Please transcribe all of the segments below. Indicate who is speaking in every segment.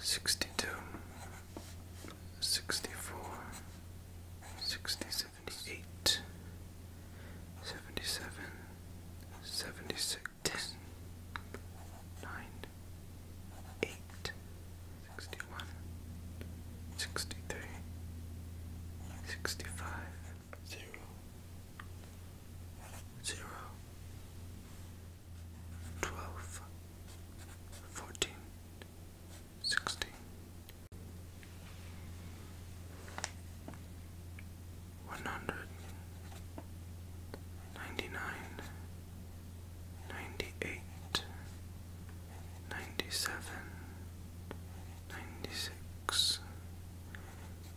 Speaker 1: 62 64 60 76 65 0 twelve, fourteen, sixteen. One hundred ninety nine, ninety eight, ninety seven, ninety six,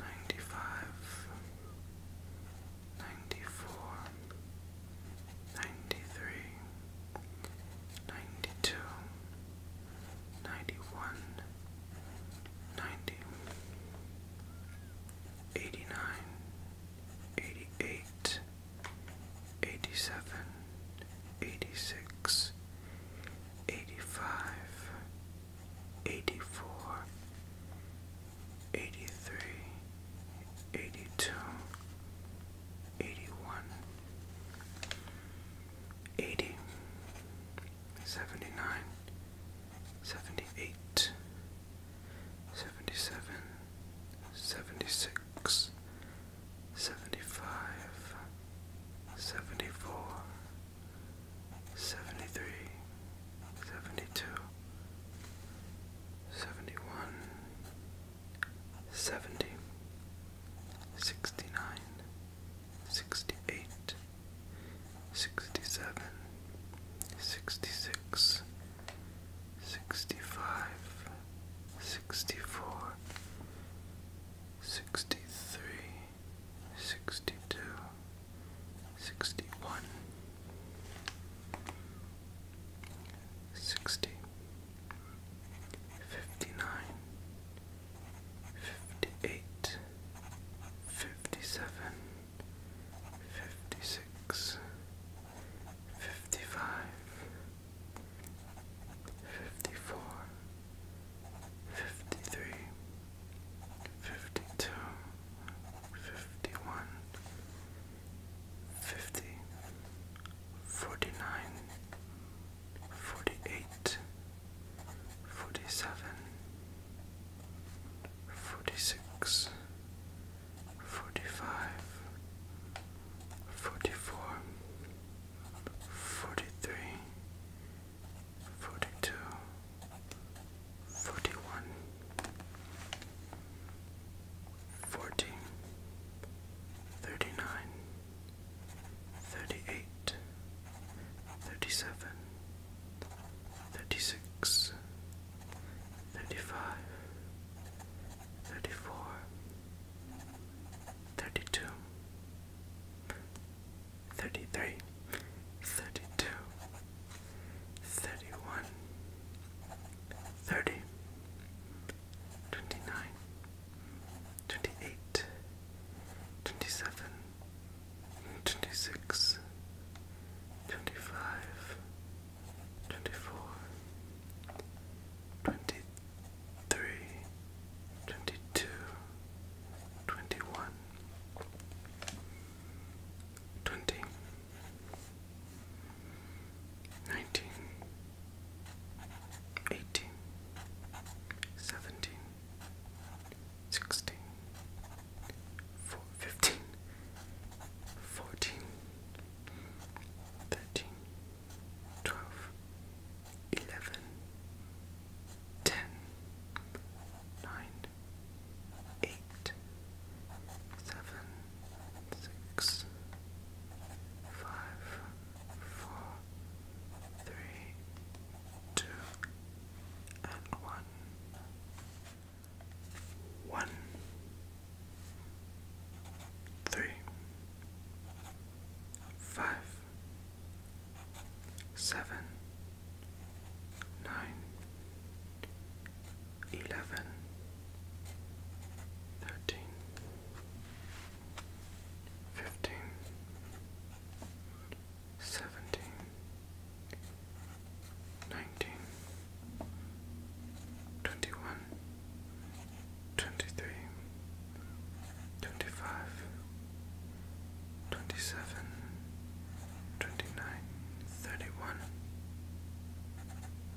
Speaker 1: ninety five, 94 93 92 91 90 89 88 87 86 85 84 83 82 79 78 77 76 75 74 73 72 seventy one, seventy, sixty nine, sixty eight, sixty seven, sixty six, sixty five, sixty four, sixty three, sixty two, sixty one sixty, fifty-nine, fifty-eight, fifty-seven, fifty-six, fifty-five, fifty-four, fifty-three, fifty-two, fifty-one. 52, 53, 54, 55, 56, 57, 58, 59, fifty, forty nine, forty eight, forty seven, forty six, forty five, forty four, forty three, forty two, forty one. 14 37 36 35 34 32 33 31 30 28 27 26 25 24 23 22 21 20 19 18 17 16 15 14 13 12 11 10 9 8 7 six, five, four, three, two, and one. One, three, five, seven, nine, eleven, thirteen, fifteen, seventeen, nineteen, twenty-one, twenty-three, twenty-five, twenty-seven, twenty-nine thirty-one,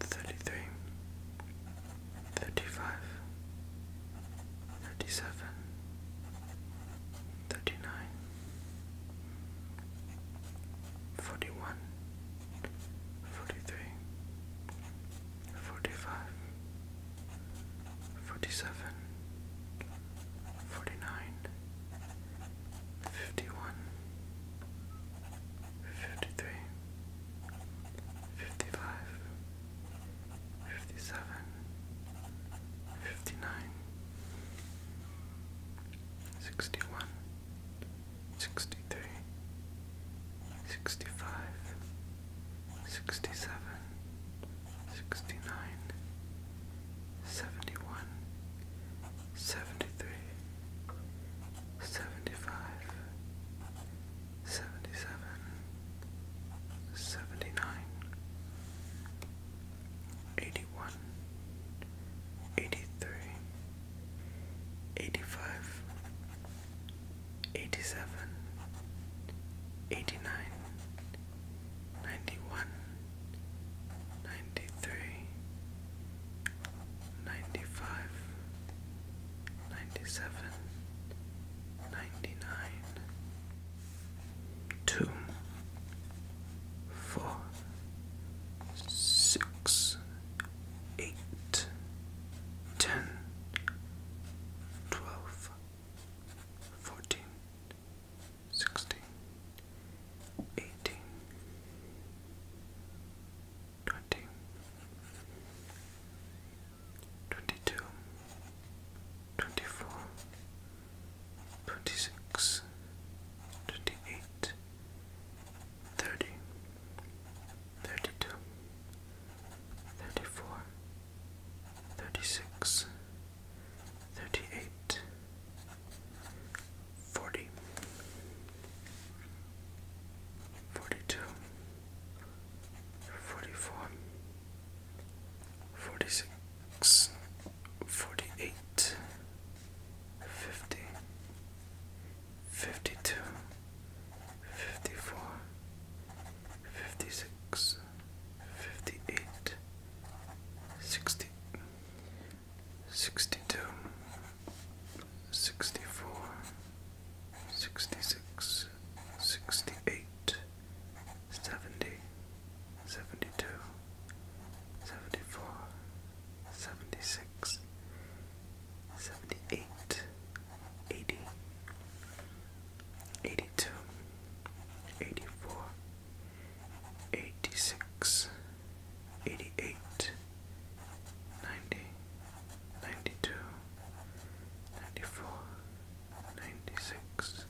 Speaker 1: thirty-three, thirty-five, thirty-seven, thirty-nine, forty-one, forty-three, forty-five, forty-seven, forty-nine, fifty-one, fifty-three fifty-five, fifty-seven, fifty-nine, sixty-one, sixty-three, sixty-five, sixty-seven, sixty-nine, seventy-one, seventy-three seventy-five, seventy-seven, seventy-nine, eighty-one, eighty-three, eighty-five, eighty-seven, eighty-nine, ninety-one, ninety-three. 95 97 2 4 6 8 10 14 16 18 twenty, twenty-two, twenty-four, twenty-six, twenty-eight, thirty, thirty-two, thirty-four, thirty-six, thirty-eight forty, forty-two, forty-four, forty-six, forty-eight, fifty, fifty-two, fifty-four, fifty-six, fifty-eight, sixty. 62 64, 66, 68, 72, 74, 76, 78, 80, 82, 84, 86, 88 90 92 94 96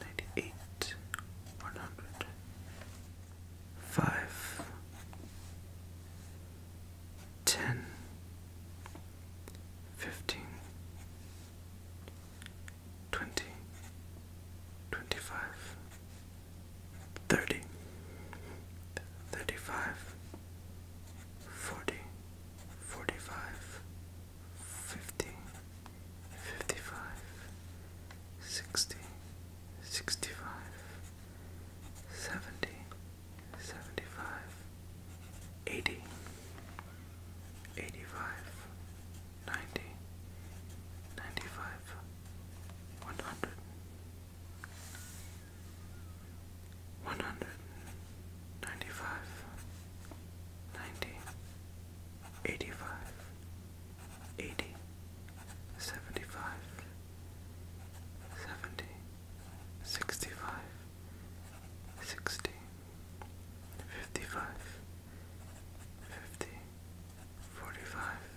Speaker 1: 98 10 15 20 25 thirty, thirty-five, forty, forty-five, fifty, fifty-five, sixty, sixty-five, seventy, seventy-five, eighty, eighty-five, ninety, ninety-five, one hundred one hundred ninety five ninety eighty five eighty seventy five seventy sixty five sixty fifty five fifty forty five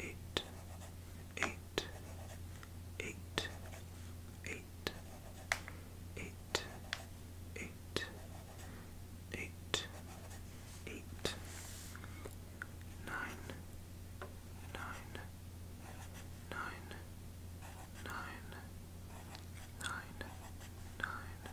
Speaker 1: eight, eight, eight, eight, eight, eight, eight, eight, eight, nine, nine, nine, nine, nine, nine, nine.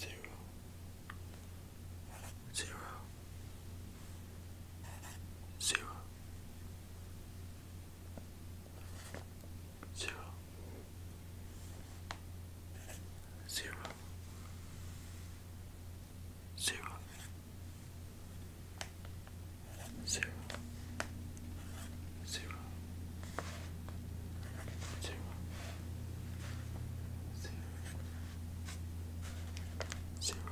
Speaker 1: Zero zero, zero, zero,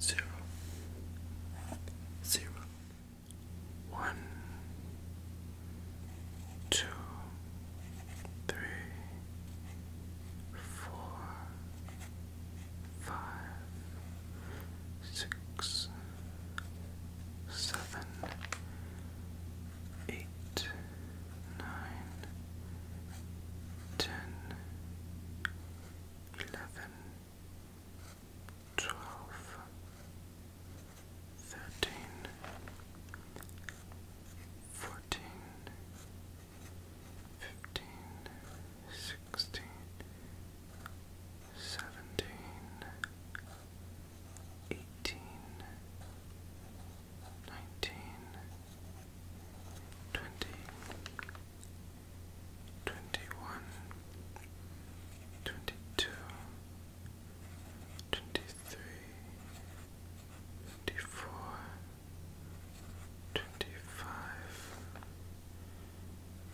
Speaker 1: zero, zero, zero, one, two, three, four, five, six seven, eight, nine, ten, eleven, twelve, thirteen, fourteen, fifteen, sixteen seventeen, eighteen, nineteen, twenty, twenty-one, twenty-two, twenty-three, twenty-four, twenty-five. 26 27 28 29 30 31 32 33 34 35 36 37 38 39 40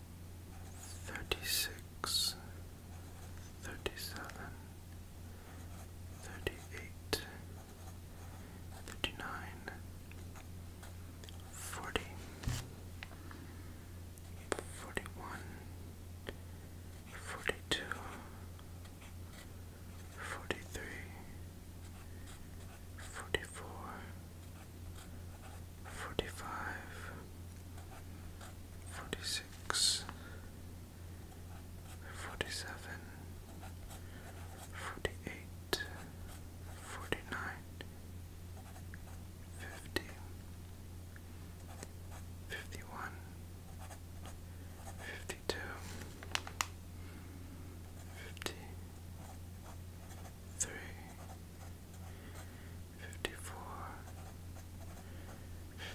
Speaker 1: 36 37 38 39 40 41 42 43 forty four, forty five, forty six, forty seven, forty eight, forty nine, fifty, fifty one, fifty two. 50 3 54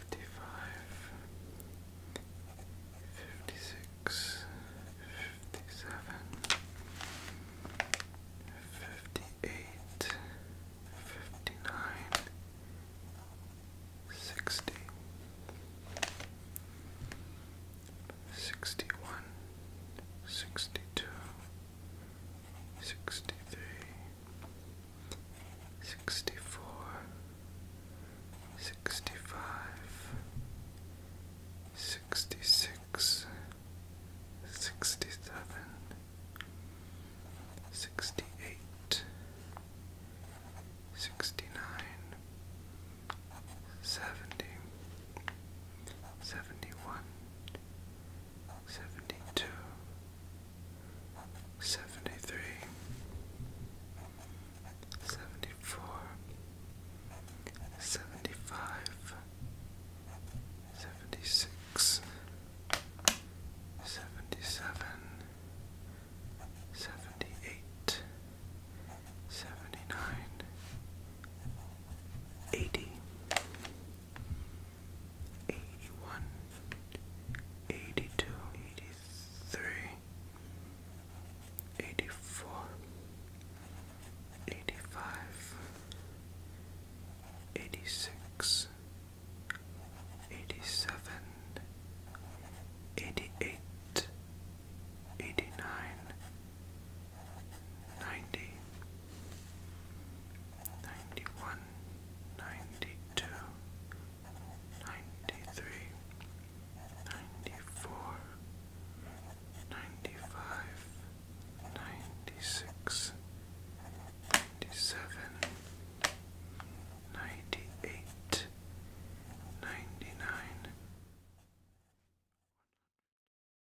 Speaker 1: 55 56 57 58 59 60 61 62 sixty-three, sixty-four, sixty-five, sixty-six, sixty-seven, sixty-eight, sixty-nine, seventy, seventy-one. 71 seventy-two, seventy-three, seventy-four, seventy-five, seventy-six, seventy-seven, seventy-eight, seventy-nine. 78 79 eighty, eighty one, eighty two, eighty three, eighty four, eighty five, eighty six, eighty seven, eighty eight. 89 ninety, ninety one, ninety two, ninety three, ninety four, ninety five, ninety six, ninety seven, ninety eight, ninety nine.